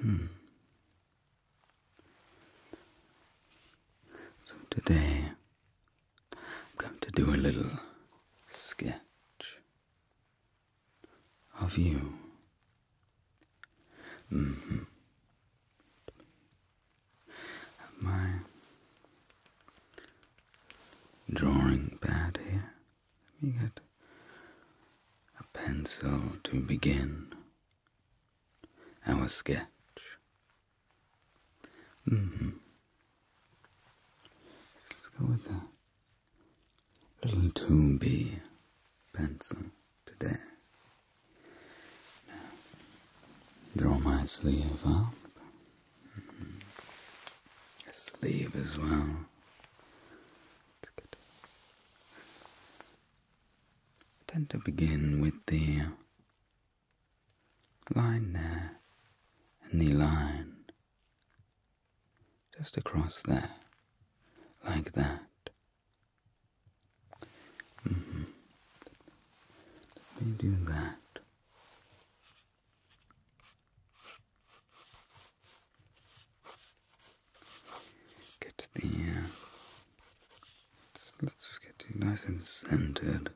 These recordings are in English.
Hmm. So today I'm going to do a little sketch of you. Mm My drawing pad here. We me get a pencil to begin our sketch. Mm-hmm. Let's go with a little 2 pencil today. Now, draw my sleeve up. Mm-hmm. Sleeve as well. Good. I tend to begin with the line there and the line just across there, like that. Mm-hmm. Let me do that. Get the. Uh, let's, get you nice and centered.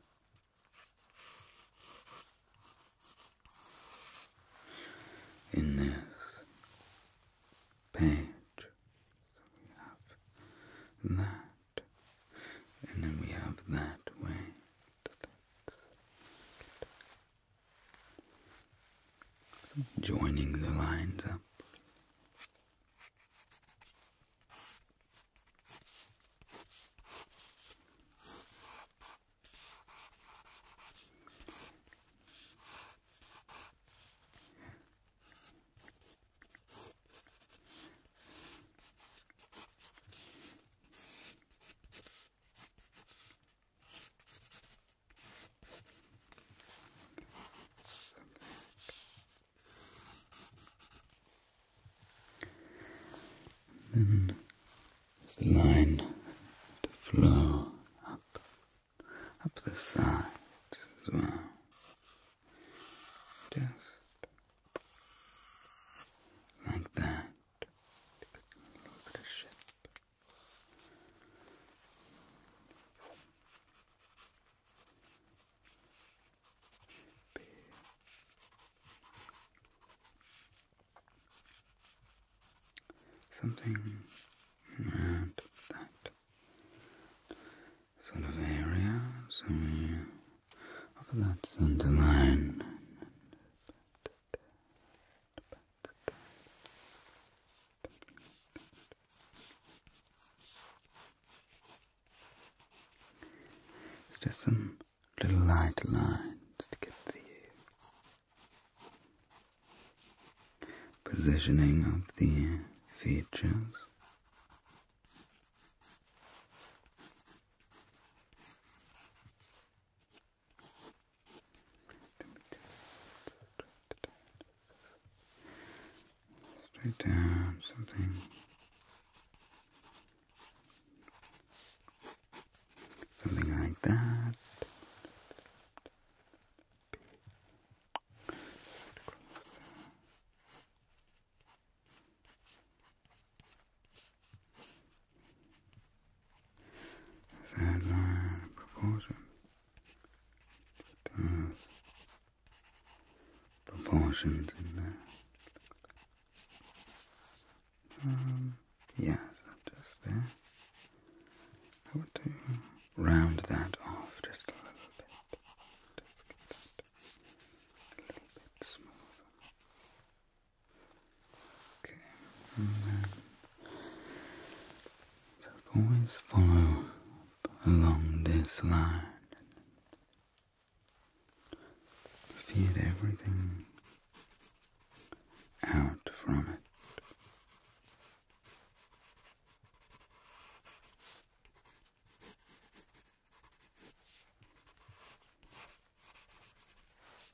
In this page, so we have that, and then we have that way joining the lines up then the line to flow up, up the side as well. Just like that. Something around that sort of area, so we that centre line just some little light lines to get the uh, positioning of the features. Straight down something. Something like that. Sandline proportion proportions in there. Um, yes, just there. I want to round that off just a little bit. a little bit smoother. Okay, and always follow along this line. Feed everything out from it.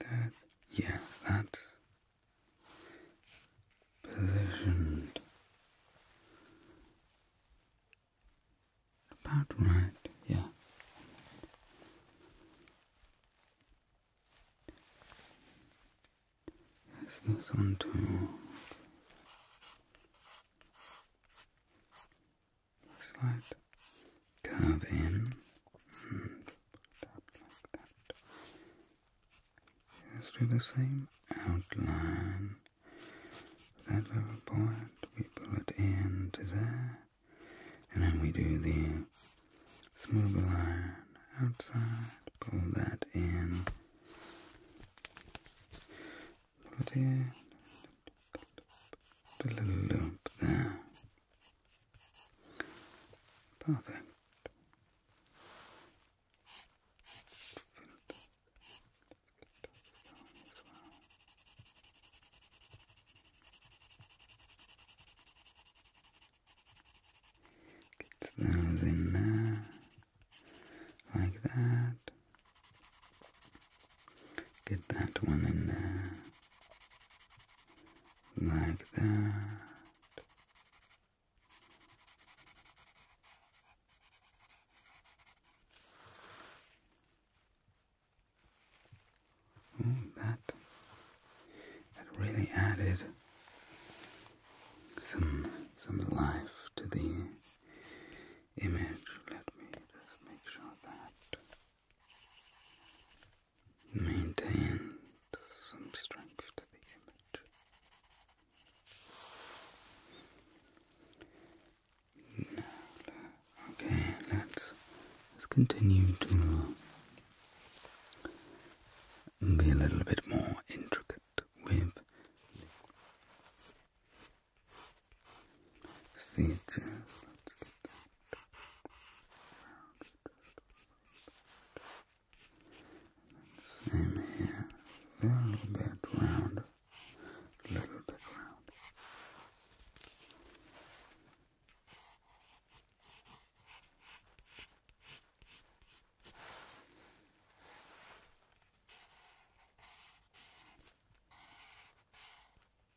that, yeah, that's positioned about right, yeah. this one too. Slide curve in and tap like that. Just do the same outline. That little point, we pull it in to there, and then we do the smooth line outside, pull that in, pull it in, the little loop there, Perfect. those in there, like that. Get that one in there, like that. Mm, that that really added some some life to the image. Let me just make sure that maintain some strength to the image. okay, let's let's continue to be a little bit more intricate with features. Same here. a little bit round. A little bit round.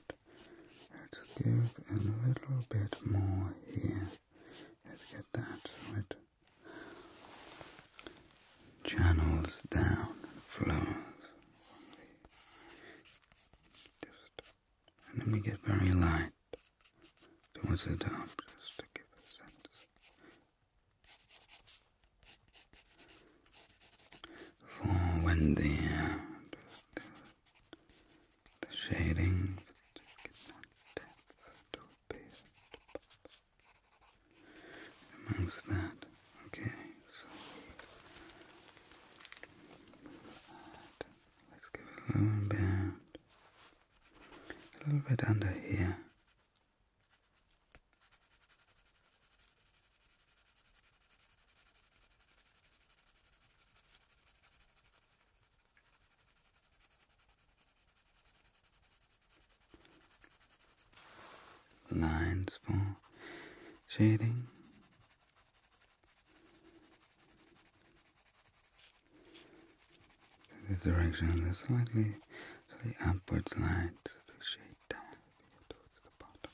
Let's give a little bit more here. Let's get that right. channels down and flows. Just, and then we get very light towards the top just to give a sense. For when the the shading, but get more depth to appear. Amongst that, okay, so let's give a little bit under here lines for shading. This direction is slightly, slightly upwards lines to shade down to the bottom.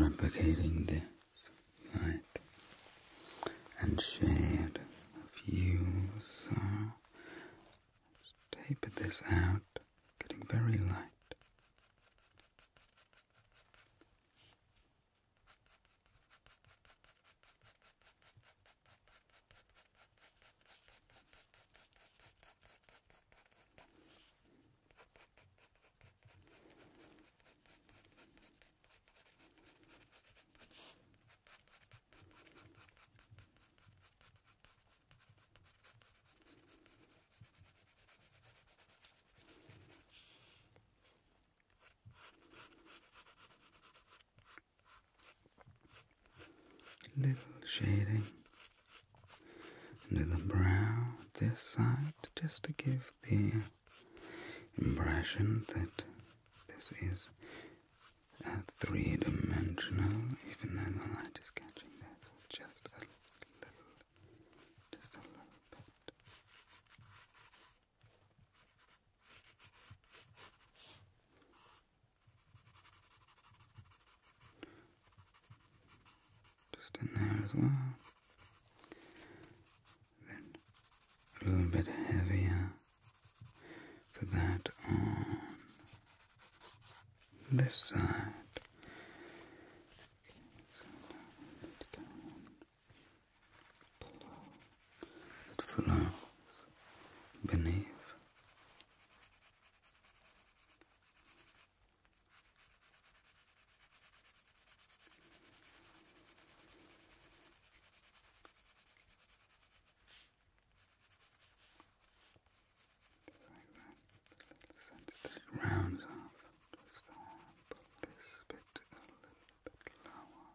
replicating this light and shared views, you. this out, getting very light. Little shading, little brow this side just to give the impression that this is three dimensional, even though the light is catching that just a little, just a little bit just in there as well. Then a little bit heavier for that on this side. It flows beneath this rounds off just uh, put this bit a little bit lower.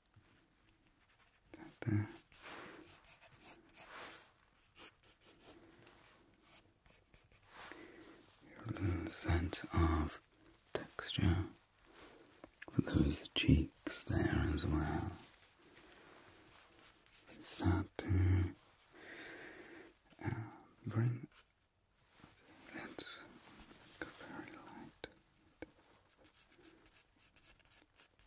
that there. Uh, sense of texture for those cheeks there as well. Start to uh, bring uh, that very light.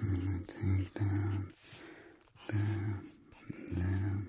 And take down, down, down.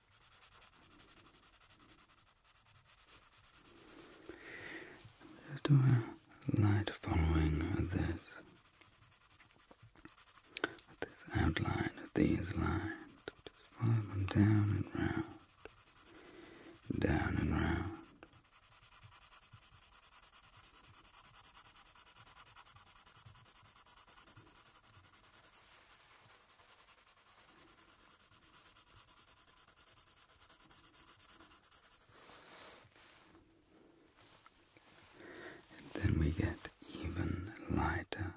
Just do a light following this, this outline, these lines. Just follow them down and round, down and round. And then we get even lighter.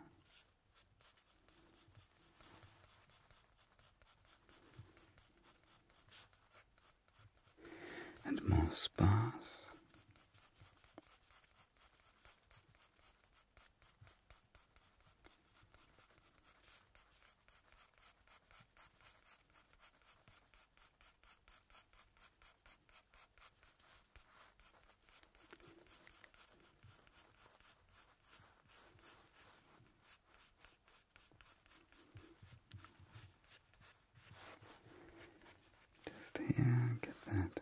And more sparse, just yeah, get that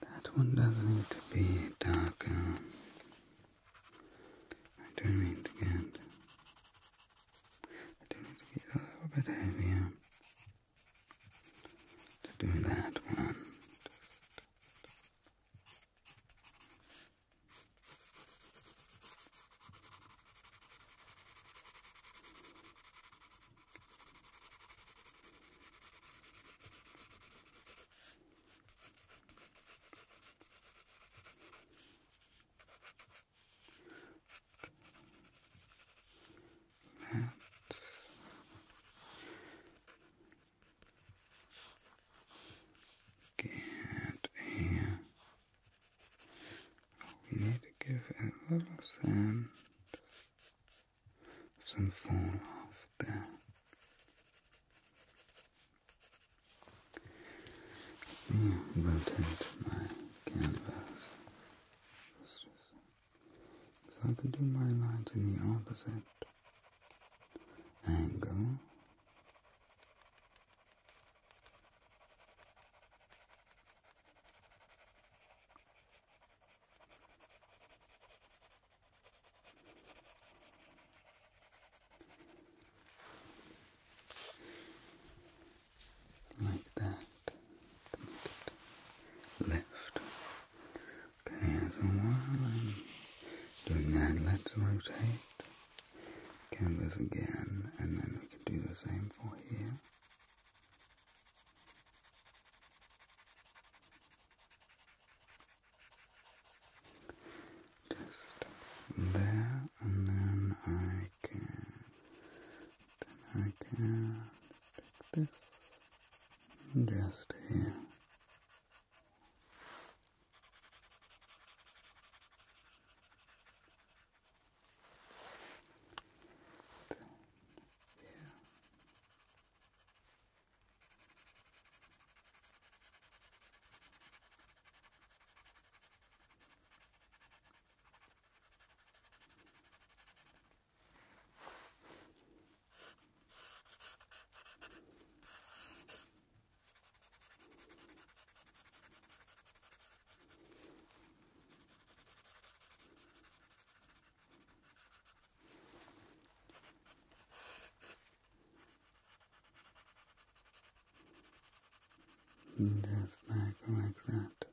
That one does not need to be darker. Um, I do need to get I do need to be a little bit heavier to do that one. And get a. We need to give a little sand, some fall off there. Let me rotate my canvas so I could do my lines in the opposite angle like that Left. make it Okay, so while i doing that, let's rotate canvas again, and then we can do the same for here. Just there, and then I can then I can take this and just here. Then here. Just back like that.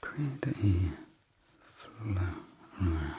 Create a flow around.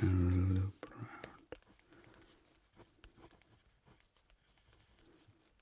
and loop around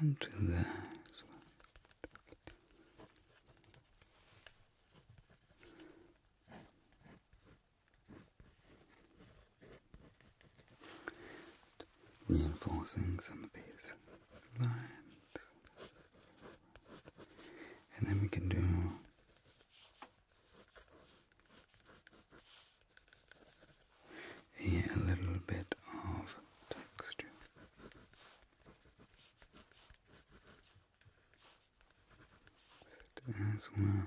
and to there as well. Okay. Reinforcing some of these lines. And then we can do a little bit of texture. As well.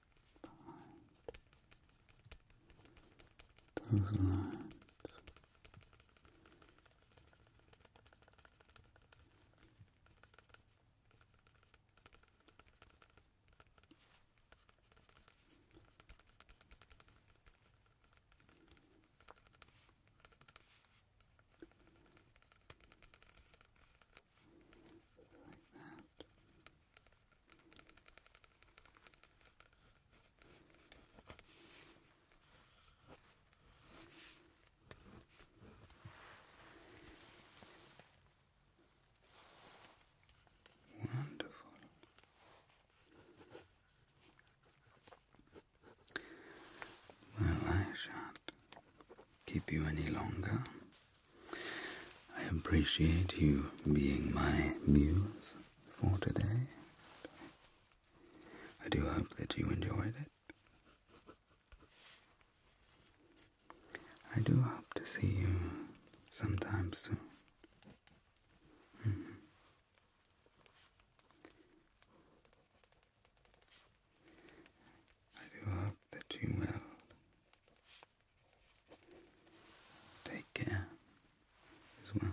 behind those lines. Like that. Wonderful. Well, I sha keep you any longer. I appreciate you being my muse for today. I do hope that you enjoyed it. I do hope to see you sometime soon. Mm-hmm. I do hope that you will Take care as well.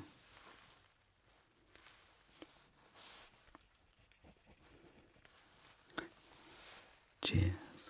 Cheers.